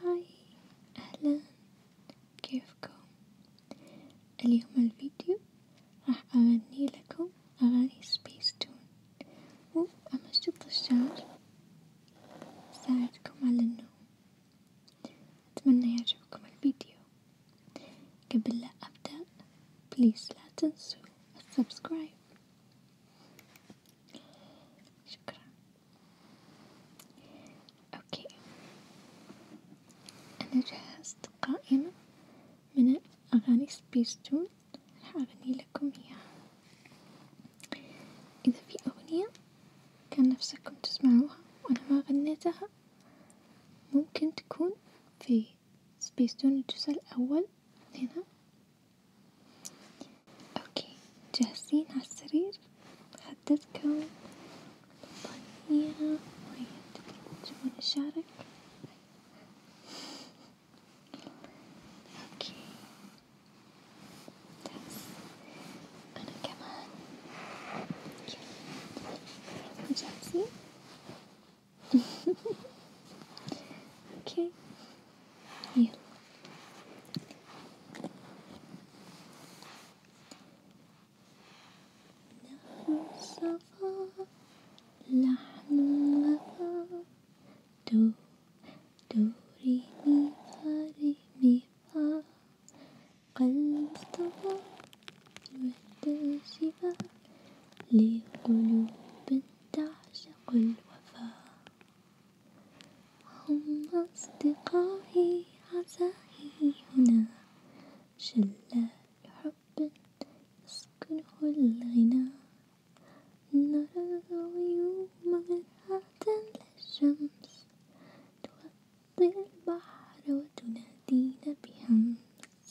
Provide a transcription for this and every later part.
هاي اهلا كيفكم اليوم الفيديو راح اغني لكم اغاني سبيستون وامشط الشعر اساعدكم على النوم اتمنى يعجبكم الفيديو قبل لا ابدأ بليز لا تنسوا السبسكرايب شكرا اوكي انا جهزت قائمة من اغاني سبيستون راح اغني لكم اياها اذا في اغنية كان نفسكم تسمعوها وانا ما غنيتها ممكن تكون في سبيستون الجزء الاول هنا اوكي جاهزين على السرير حددكم بطانية مية تبون أشارك اوكي بس أنا كمان جاهزين اوكي يلا نحن صفا نحن وفا دو دو ري مي فا ري مي فا قلب طفا الود شفا لقلوب تعشق الوفا وهم أصدقائي عزائي هنا شلال حب يسكنه الغنى نرى الغيوم مرآة للشمس توطي البحر وتنادينا بهمس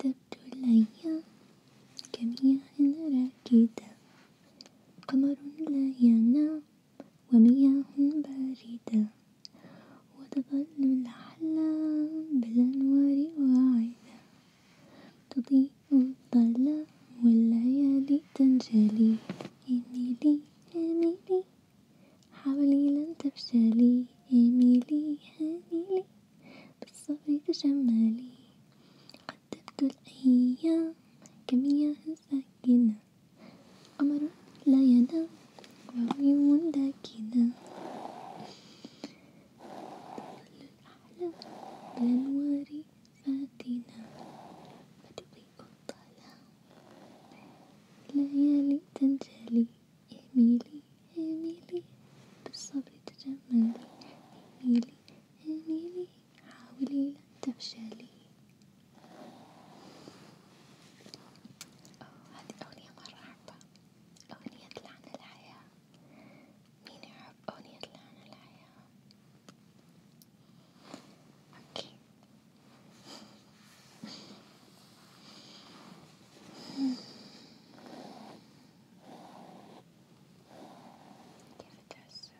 قدمت الأيام كمياه راكدة قمر لا ينام ومياه باردة وتظل الأحلام بالأنوار واعدة تضيء الظلام والليالي تنجلي إيميلي إيميلي حولي لن تفشلي إيميلي إيميلي بالصيف تجملي قدمت الأيام كمياه ساكنة قمر لا ينام وعيون داكنة تظل الأحلام بالأنوار فاتنة فتضيء الظلام ليالي تنجلي اميلي اميلي بالصبر تجملي اميلي اميلي حاولي لن تفشلي هذه أغنية مرة أحبها أغنية لعن الحياة مين يحب أغنية لعن الحياة أوكي كيف تحس؟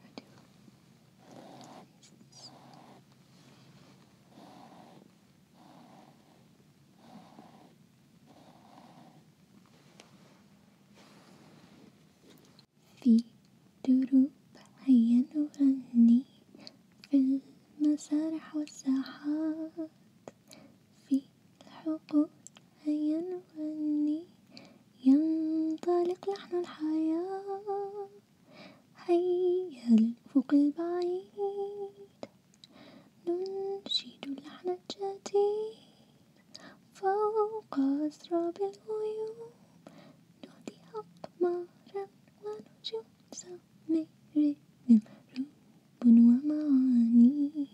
هدوء في دروب هيا نغني في المسارح والساحات في الحقول أيا وأني ينطلق لحن الحياة هيا للأفق البعيد ننشد اللحن الجديد فوق أسراب الغيوم نهدي أقمارا ونجوم مر من رب ومعاني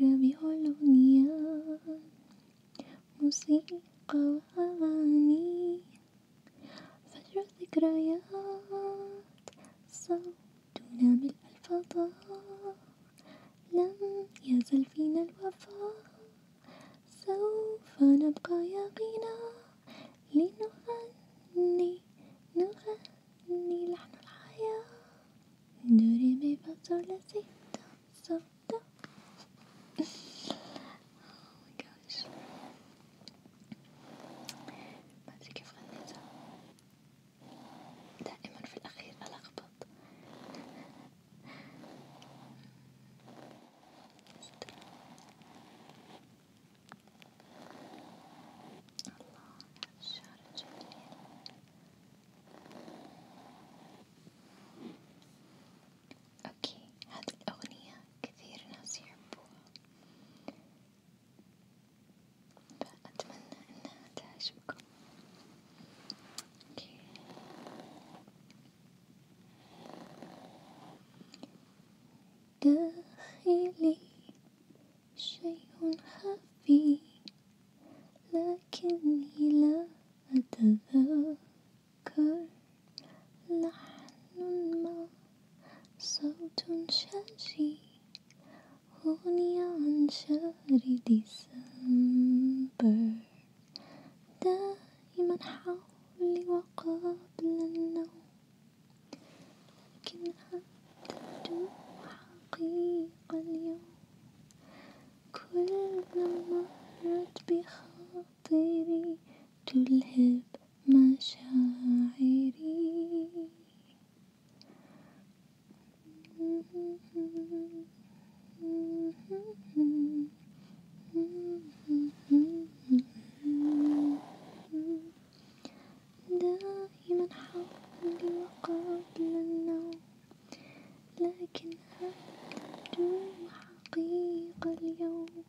ربيع الأغنياء موسيقى وأغاني فجر ذكريات صوتنا بالألفاظ لم يزل فينا الوفاء سوف نبقى يقينا لنغني نغني إني لحن الحياة نرمي بطلة سيدة سودة ماجاش oh مادري كيف غنيتها دائما في الأخير ألخبط الله الشعر جميل اوكي هذه الاغنية كثير ناس يحبوها فأتمنى انها تعجبكم اوكي داخلي شيء خفي لكني لا أتذكر لحن ما صوت شجي أغني عن شهر ديسمبر دائما حولي وقبل النوم لكنها تبدو حقيقة اليوم كلما مرت بخاطري تلهب مشاعري دائما حولي وقبل النوم لكن هذا الجوع حقيقة اليوم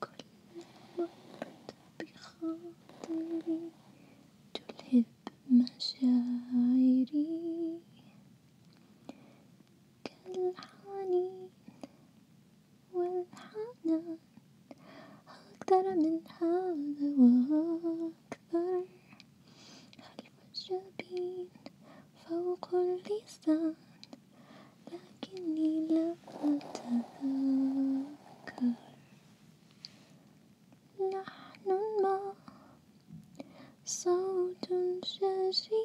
كل مرت بخاطري تلهب مشاعري كالحنين والحنان أقدر من هذا وأكثر خلف الجبين فوق اللسان لكني لا أتذكر نحن الماء صوت شجي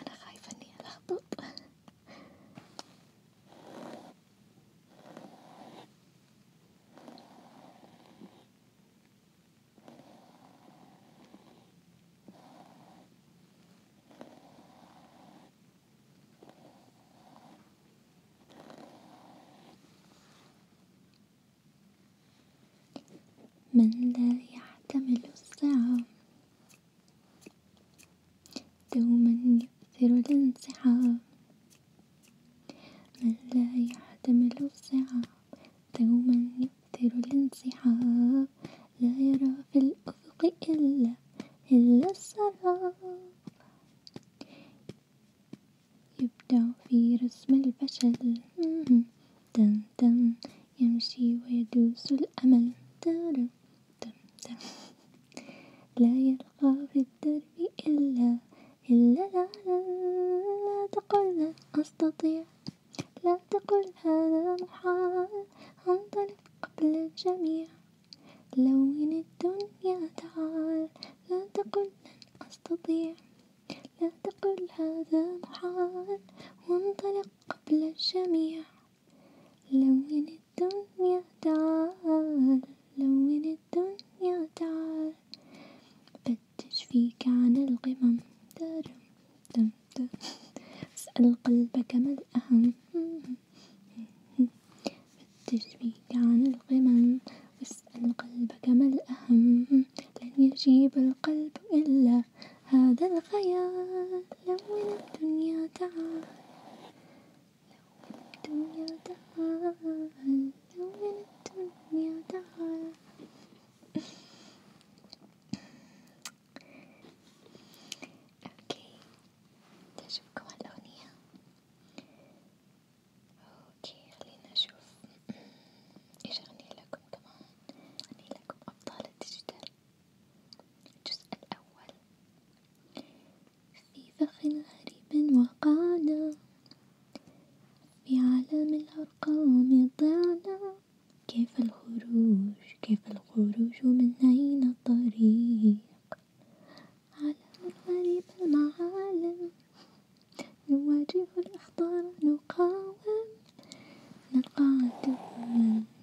أنا خايفة إني ألخبط من ذا يحتمل الصعاب دوما يؤثر الانسحاب من لا يحتمل الصعاب دوما يؤثر الانسحاب لا يرى في الأفق إلا إلا السراب يبدع في رسم الفشل تن يمشي ويدوس الأمل لا يلقى في الدرب إلا إلا لا لا, لا تقل لا أستطيع لا تقل هذا محال انطلق قبل الجميع لون الدنيا تعال لا تقل لن أستطيع لا تقل هذا محال وانطلق قبل الجميع لون الدنيا تعال لون الدنيا تعال فتش فيك عن القمم ترم تم تم اسأل قلبك ما الأهم فتش فيك عن القمم واسأل قلبك ما الأهم لن يجيب القلب إلا هذا الخيال لون الدنيا تعال لو الدنيا تعال لون الدنيا تعال اوكي تعجبكم هالأغنية اوكي خلينا نشوف ايش اغني لكم كمان اغني لكم ابطال الديجيتال الجزء الأول في فخ غريب وقعنا في عالم الأرقام ضعنا كيف الخروج كيف الخروج من أين الطريق عالم غريب المعالم نواجه الأخطار نقاوم نلقى عدوا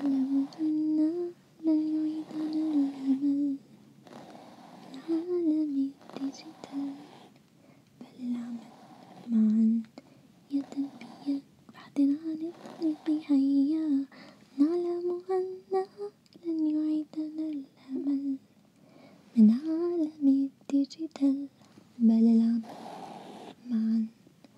نعلم أن لن يعيدنا الأمل في عالم الديجيتال بل العمل معا يا تنمية بعدنا عن الطريق هيا نعلم أن لن يعيدنا الأمل من عالم الديجيتال بل العمل معا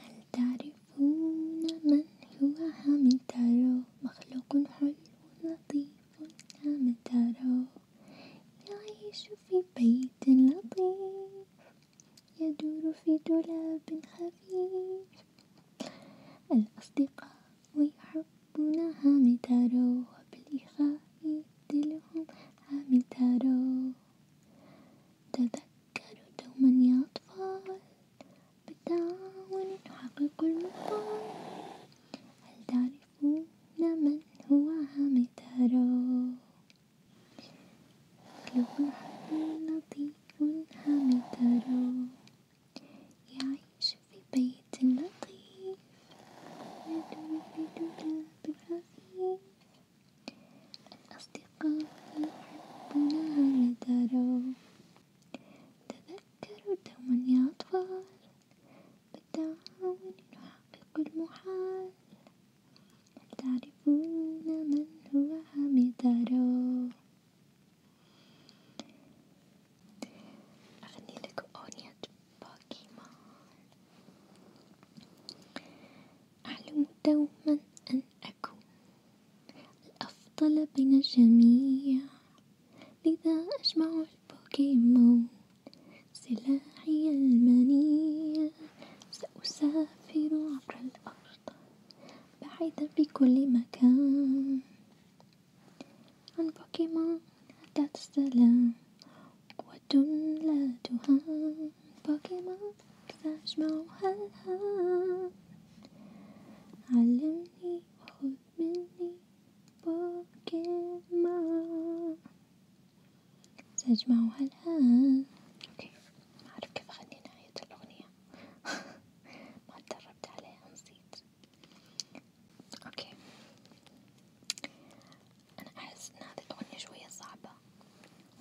هل تعرفون من هو هامتارو مخلوق حلو لطيف هامتارو يعيش في بيت لطيف يدور في دولاب خفيف الأصدقاء يحبون هامتارو وبالإخاء يدلهم هامتارو تذكر تذكروا دوما يا أطفال بالتعاون نحقق المطال هل تعرفون من هو حامد هرول له حمل لطيف حامد هرول يعيش في بيت لطيف يدور في دولاب رفيف الأصدقاء يحبنا لدارو تذكروا دوما يا أطفال بالتعاون نحقق المحال هل تعرفون من هو عميدارو أغني لكم أغنية بوكيمون أحلم دوما أن أكون الأفضل بين الجميع لذا أجمع البوكيمون سلاحي المنيع سأسافر عبر الأرض بعيدا في كل مكان عن بوكيمون أتت السلام قوة لا تهان بوكيمون تجمع حالها علمني وخذ مني بوكيمون تجمع حالها اوكي ما كيف اغني نهاية الاغنية ما تدربت عليها نسيت اوكي انا احس ان هذه الاغنية شوية صعبة صعبة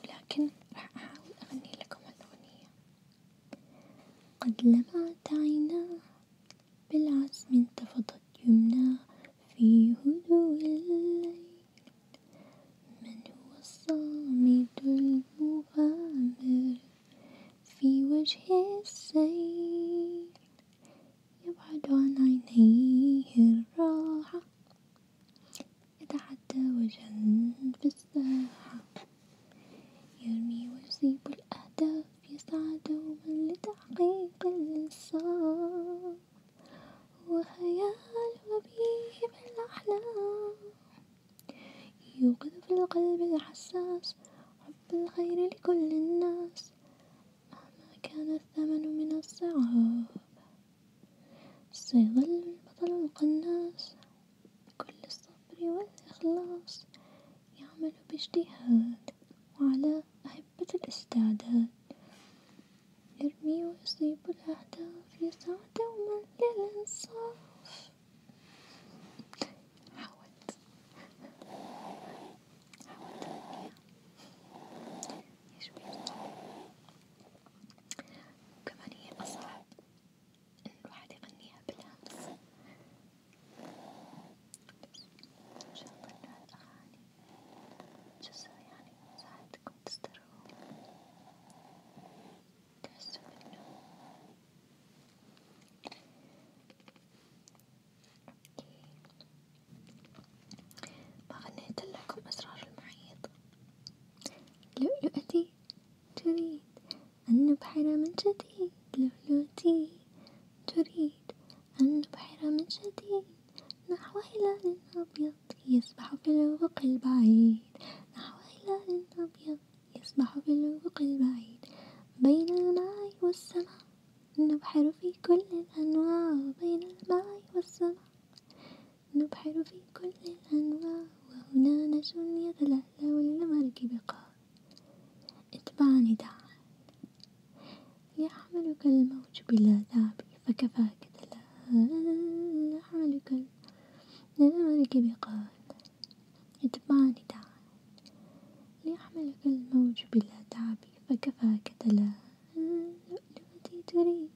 ولكن راح أحاول أغني لكم الأغنية قد لمعت عيناه بالعزم انتفضت يمناه في هدوء الليل من هو الصامد المغامر في وجه السيل يبعد عن عينيه الراحة يتعدى في الساحة يرمي ويصيب الأهداف يسعى دوما لتحقيق الإنصاف وخيال وبيه بالأحلام يوقظ في القلب الحساس حب الخير لكل الناس مهما كان الثمن من الصعاب سيظل البطل القناص كل الصبر والإخلاص يعمل باجتهاد وعلى أهبة الاستعداد يرمي ويصيب الأهداف يسعى دوما للإنصاف حاولت حاولت يا شوي صعب وكمان هي أصعب إن الواحد يغنيها بالهمس، إن شاء الله يعني؟ إنه هالأغاني جزء يعني ساعدكم تسترخون تحسوا بالنوم، أوكي ما غنيت لكم أسرار المحيط. لؤلؤتي تريد أن نبحر من جديد لؤلؤتي تريد أن نبحر من جديد نحو هلال أبيض يسبح في الأفق البعيد نحو هلال أبيض يسبح في الأفق البعيد بين الماء والسماء نبحر في كل الأنواع بين الماء والسماء نبحر في كل الأنواع وهنا نجم يتلألأ للمركب قال اتبعني تعال يحملك الموج بلا تعب فكفاك تلألأ يحملك للمركب قال اتبعني تعال ليحملك الموج بلا تعب فكفاك تلألأ التي تريد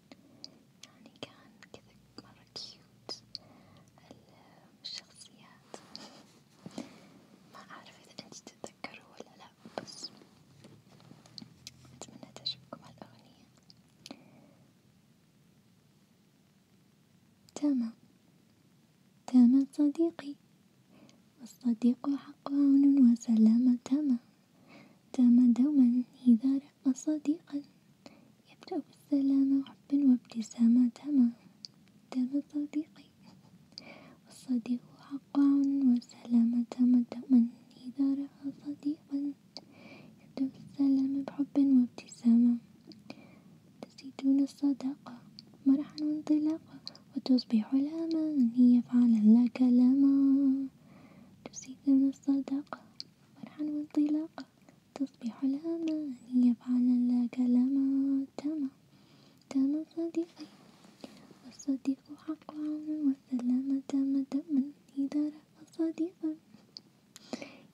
يعني كان كذا مرة كيوت الشخصيات ما أعرف إذا أنت تتذكره ولا لأ بس أتمنى تعجبكم هالأغنية تمام تمام صديقي والصديق حق عون وسلامة تمام دام دوما إذا رق صديقا يبدأ بالسلام وحب وابتسامة دام دام صديقي الصديق حق وسلامة دام دوما إذا رأى صديقا يبدأ بالسلام بحب وابتسامة تزيدون الصداقة مرحا وانطلاقا وتصبح لاما هي فعلا لا كلاما تزيدون الصداقة والحان وانطلاقة تصبح لاما هي فعلا لا كلاما تاما تاما صديقي والصديق حق عون والسلام تام دما إذا رأى صديقا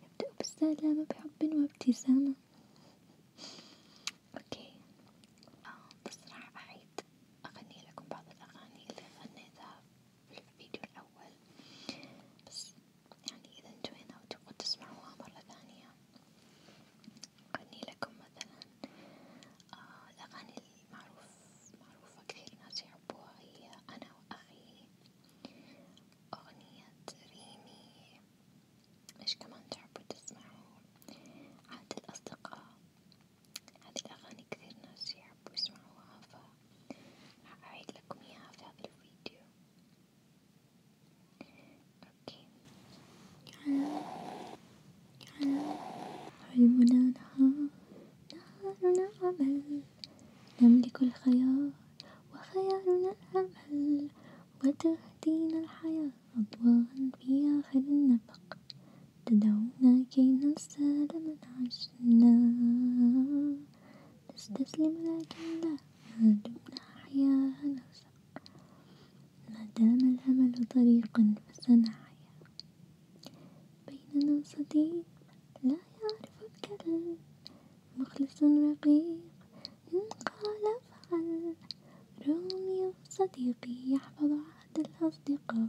يبدأ بالسلام بحب وابتسامة أوكي بس آه، راح أعيد أغني لكم بعض الأغاني اللي غنيتها في الفيديو الأول بس يعني إذا انتوينا وتبغوا تسمعوها مرة ثانية أغني لكم مثلا آه الأغاني المعروف معروفة كثير ناس يحبوها هي أنا وأخي أغنية ريمي إيش كمان تحبوا تسمعوا عاد الأصدقاء هذه الأغاني كثير ناس يحبوا يسمعوها ف راح أعيد لكم إياها في هذا الفيديو أوكي حلمنا نهار نهارنا عمل نملك الخيار وخيارنا الأمل وتهدينا الحياة أضواء في آخر النفق تدعونا كي ننسى لمن عشنا نستسلم لكن لا ما دمنا أحياء نرزق ما دام الأمل طريقا فسنحيا بيننا صديق لا يعرف الكلام مخلص رقيق إن قال افعل روميو صديقي يحفظ عهد الأصدقاء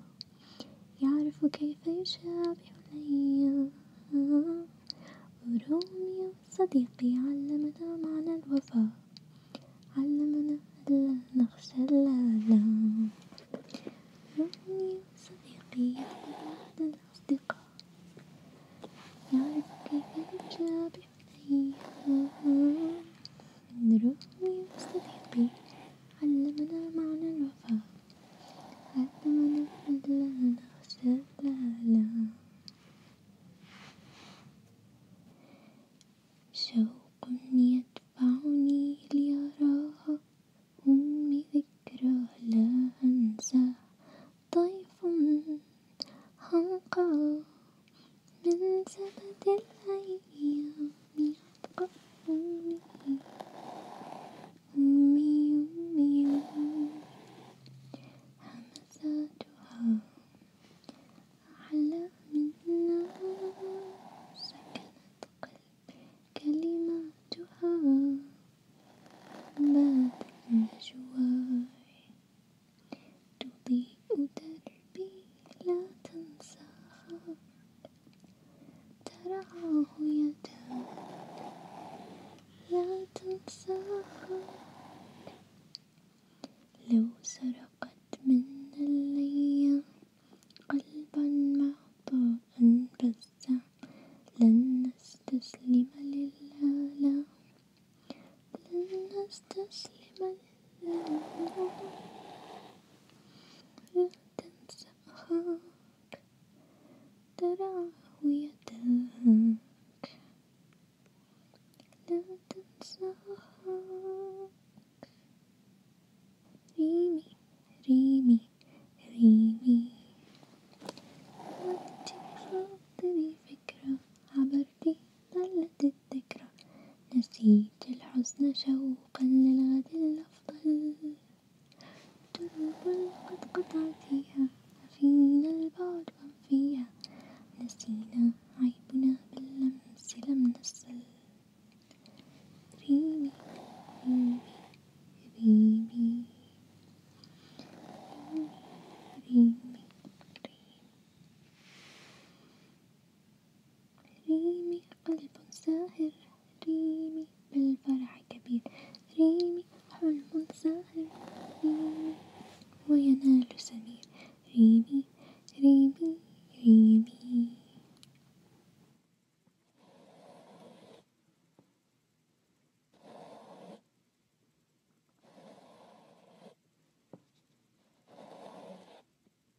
يعرف كيف يشابه الأيام وروميو صديقي علمنا معنى الوفاء علمنا ألا نخشى الآلام روميو صديقي يعلم معنى الأصدقاء يعرف كيف يشابه الأيام روميو صديقي علمنا معنى الوفاء أتمنى فضلا أخشى ثالا شوق يدفعني ليراها أمي ذكرى لا أنسى طيف هنقى من سبت الأيام أمي أبقى أمي أمي أمي أمي همساتها أحلى من نار سكنت قلبي كلماتها باتت نجواي تضيء دربي لا تنساها ترعاه يدان لا تنساها لو سرقت منا الليام قلبا معطاء بزع لن نستسلم للآلام لن نستسلم للآلام لا تنسى هواك ترعى يداك لا تنساك ريمي ريمي ريمي وانت خاطري فكرة عبرتي ظلت الذكرى نسيت نسيت الحزن شوقا للغد الأفضل دروب قد قطعتيها فينا البعد عن فيها نسينا عيبنا باللمس لم نسل ريمي ريمي ريمي ريمي ريمي ريمي قلب ساهر ريمي بالفرح كبير ريمي حلم ساهر ريمي وينال سمير ريمي ريمي ريمي